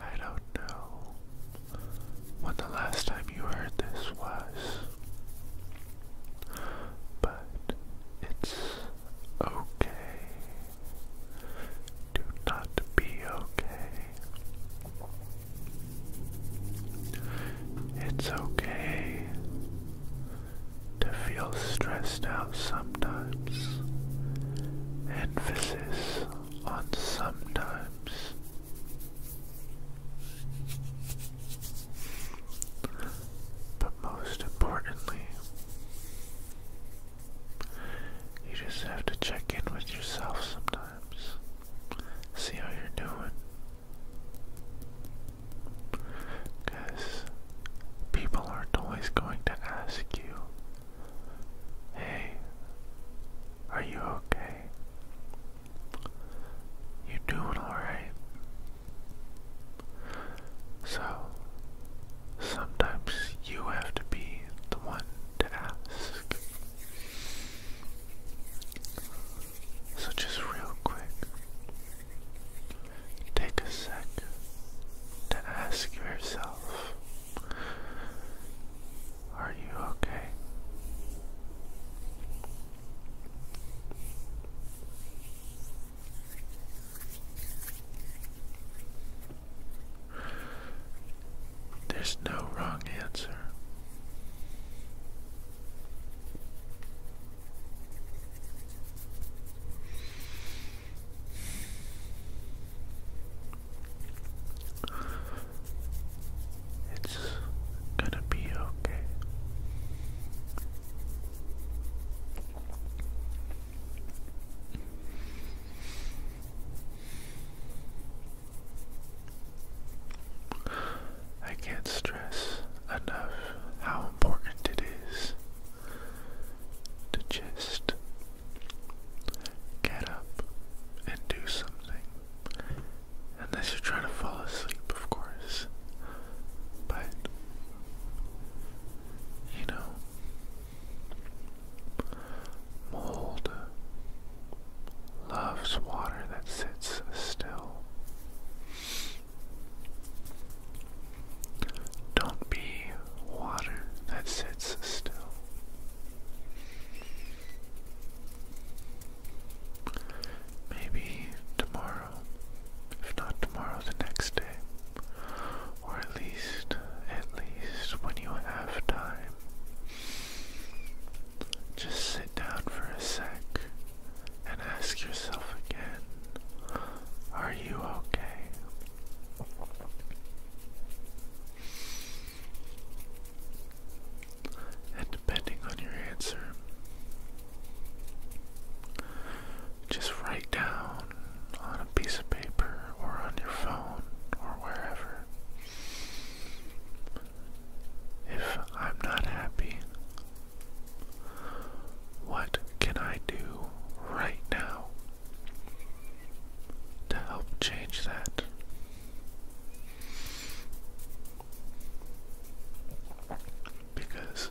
I don't know when the last time you heard this was, but it's okay. Do not be okay. It's okay to feel stressed out sometimes. Emphasis on sometimes. But most importantly, you just have to check in with yourself sometimes. See how you're doing. Because people are always going to ask you, hey, are you okay? You doing alright? So, sometimes you have to be the one so, just real quick, take a sec to ask yourself Are you okay? There's no wrong answer. It's gonna be okay. I can't stress enough how important it is to just get up and do something. Unless you're trying to fall asleep, of course. But, you know, Mold loves water that sits still. Don't be water that sits still. Maybe tomorrow, if not tomorrow, the next day, or at least, at least when you have time, just sit down for a sec and ask yourself again, are you okay? And depending on your answer, just write down on a piece of paper or on your phone or wherever. If I'm not happy, what can I do right now to help change that? Because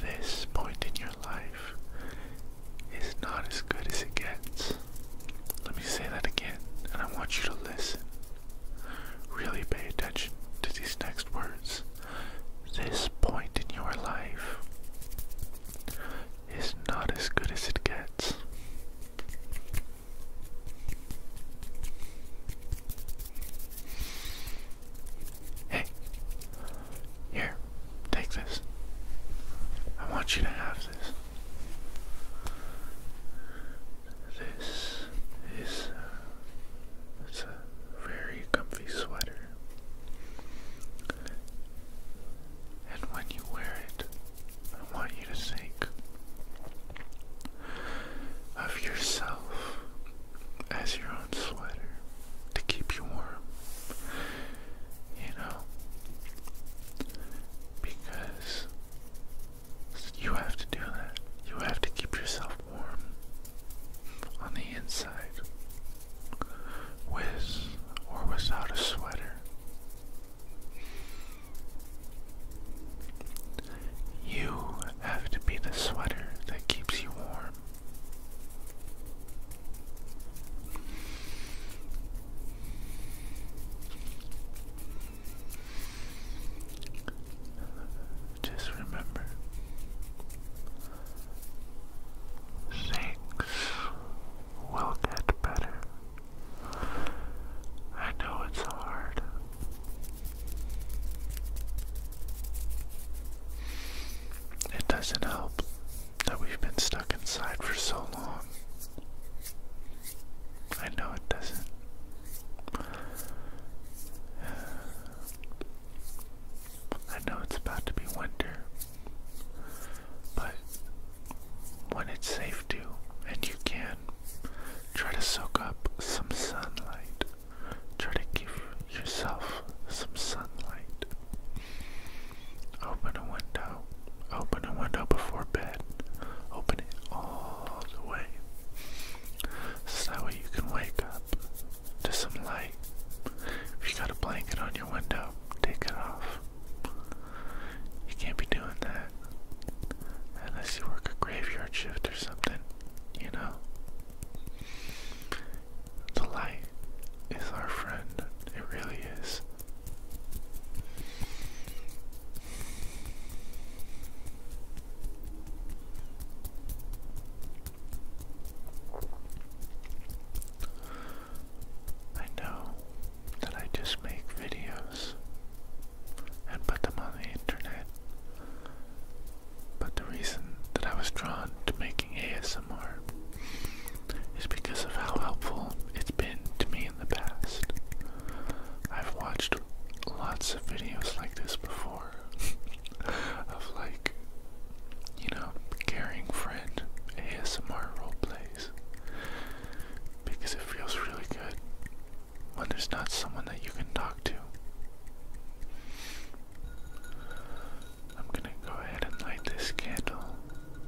this point in your life is not as good as it gets. Let me say that again, and I want you to listen. Really pay attention to these next words. This point in your life is not as good as it gets. Hey, here, take this. I want you to have this. This is it's a very comfy sweater. And when you wear it, I want you to think of yourself as your own sweater to keep you warm. You know? Because you have to do that. You have to keep yourself warm on the inside with or without a sweater. You have to be the sweater that keeps you warm. Just remember things will get better. I know it's hard. It doesn't help that we've been stuck inside for so long. I know it doesn't. I know it's about to be winter, but when it's safe to, and you can, try to soak up some sunlight. Try to give yourself some sunlight. Open a window. Open a window before bed. Open it all the way. So that way you can wake up to some light. If you got a blanket on your window, take it off. You can't be doing that unless you work a graveyard shift or something, you know? The light is our friend, it really is. I know that I just make videos and put them on the internet, but the reason that I was drawn to making ASMR is because of how helpful it's been to me in the past. I've watched lots of videos like this before of like, you know, caring friend ASMR role plays, because it feels really good when there's not someone that you can talk to. I'm gonna go ahead and light this candle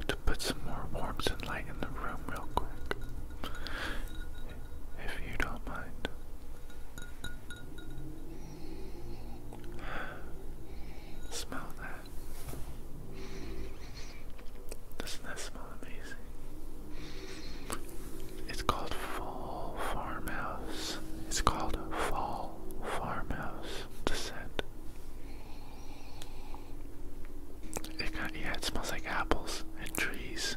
to put some more warmth and light in the room, real quick. If you don't mind. Smell that. Doesn't that smell amazing? It's called Fall Farmhouse. It's called Fall Farmhouse. descent. It yeah, it smells like apples and trees.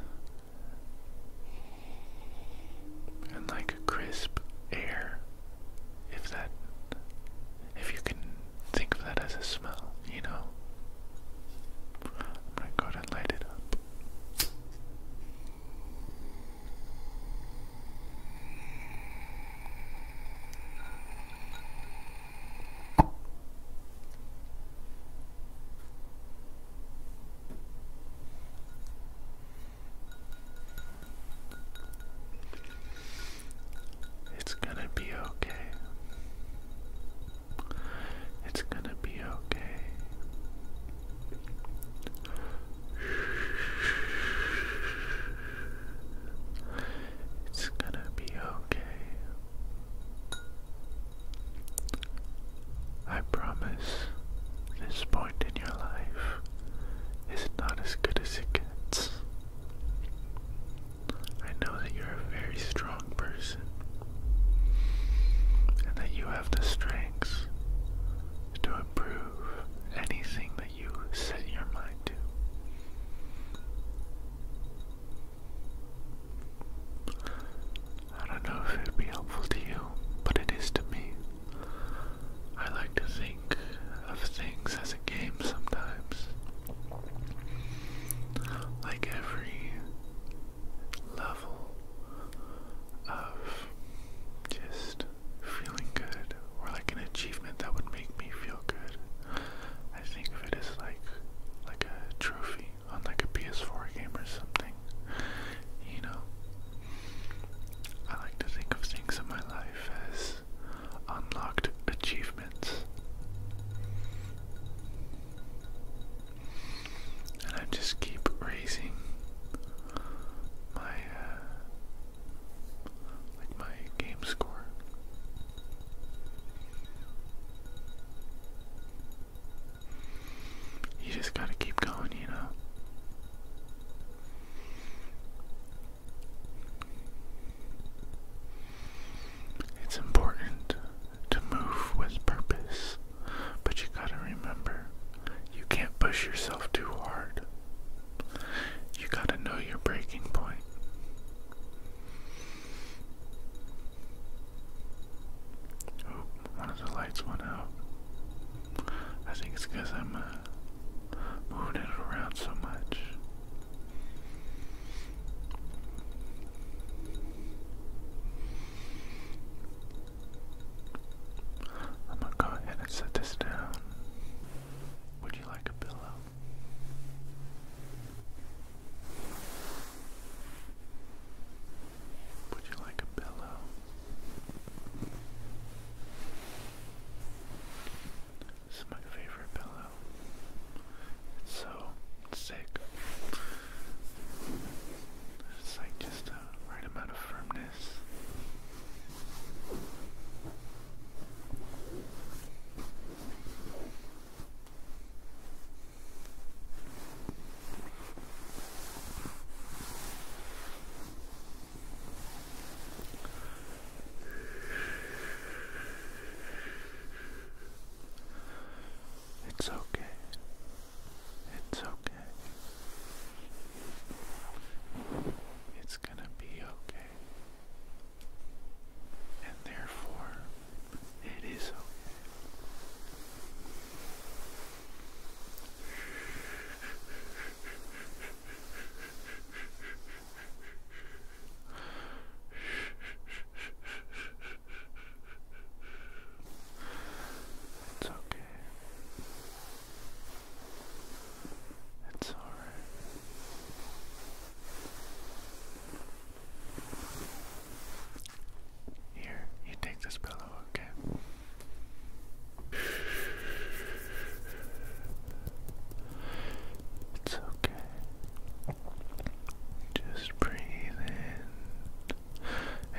And like crisp air. If that, if you can think of that as a smell, you know. I'm gonna go and light it up. It's going to be okay. It's gonna be okay. It's gonna be okay. I promise this point in your life is not as good as it gets. I know that you're a very strong person, and that you have the strength to improve anything that you set your mind to. I don't know if it would be helpful to you, but it is to me. I like to think of things as a game sometimes. Like every level of just feeling good or like an achievement that would make me feel good. I think of it as like like a trophy on like a PS4 game or something. You know. I like to think of things in my life as unlocked achievements and I just keep raising my uh, like my game score. You just gotta keep going, you know. It's important to move with purpose. But you gotta remember, you can't push yourself too hard. You gotta know your breaking point. Oh, one of the lights went out. I think it's because I'm uh, moving it around so much. I'm gonna go ahead and set this down. Would you like a pillow? Would you like a pillow? This is my favorite pillow. It's so sick. It's like just the right amount of firmness. It's okay. It's okay. It's gonna be okay. And therefore, it is okay. It's okay. It's all right. Here, you take this pillow, okay? It's okay. Just breathe in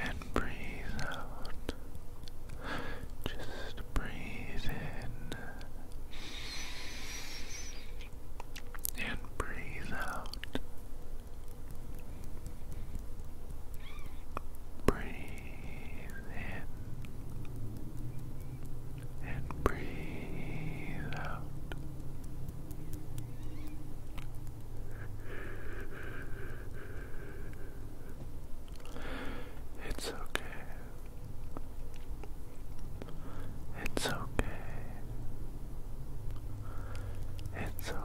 and breathe out. Just breathe in and breathe out. Breathe in and breathe out. It's okay. It's okay. It's okay.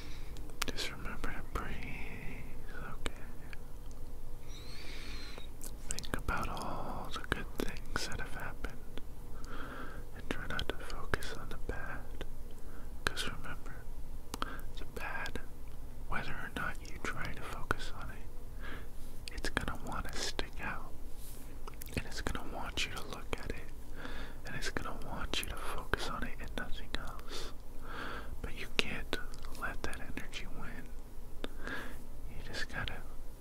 Just remember to breathe, okay? Think about all the good things that have happened and try not to focus on the bad. Because remember, the bad, whether or not you try to focus on it, it's gonna want to stick out and it's gonna want you to look at it, and it's gonna want you to focus on it and nothing else. But you can't let that energy win. You just gotta,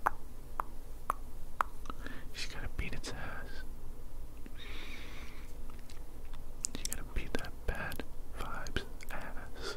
you gotta beat its ass. You gotta beat that bad vibes ass.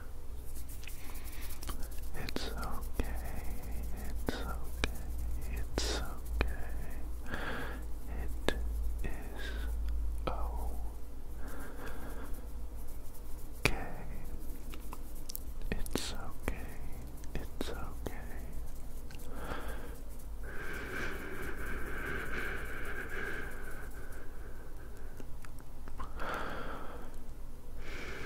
It's okay, it's okay, it's okay. It is okay. It's okay, it's okay.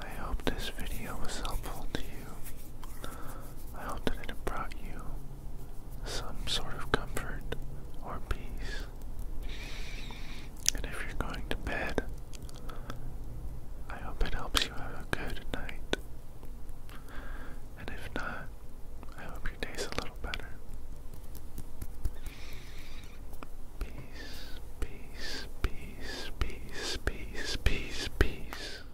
I hope this video was helpful to you. I hope that it brought you some sort of comfort or peace. And if you're going to bed, I hope it helps you have a good night. And if not, I hope hope your day's a little better. Peace, peace, peace, peace, peace, peace, peace.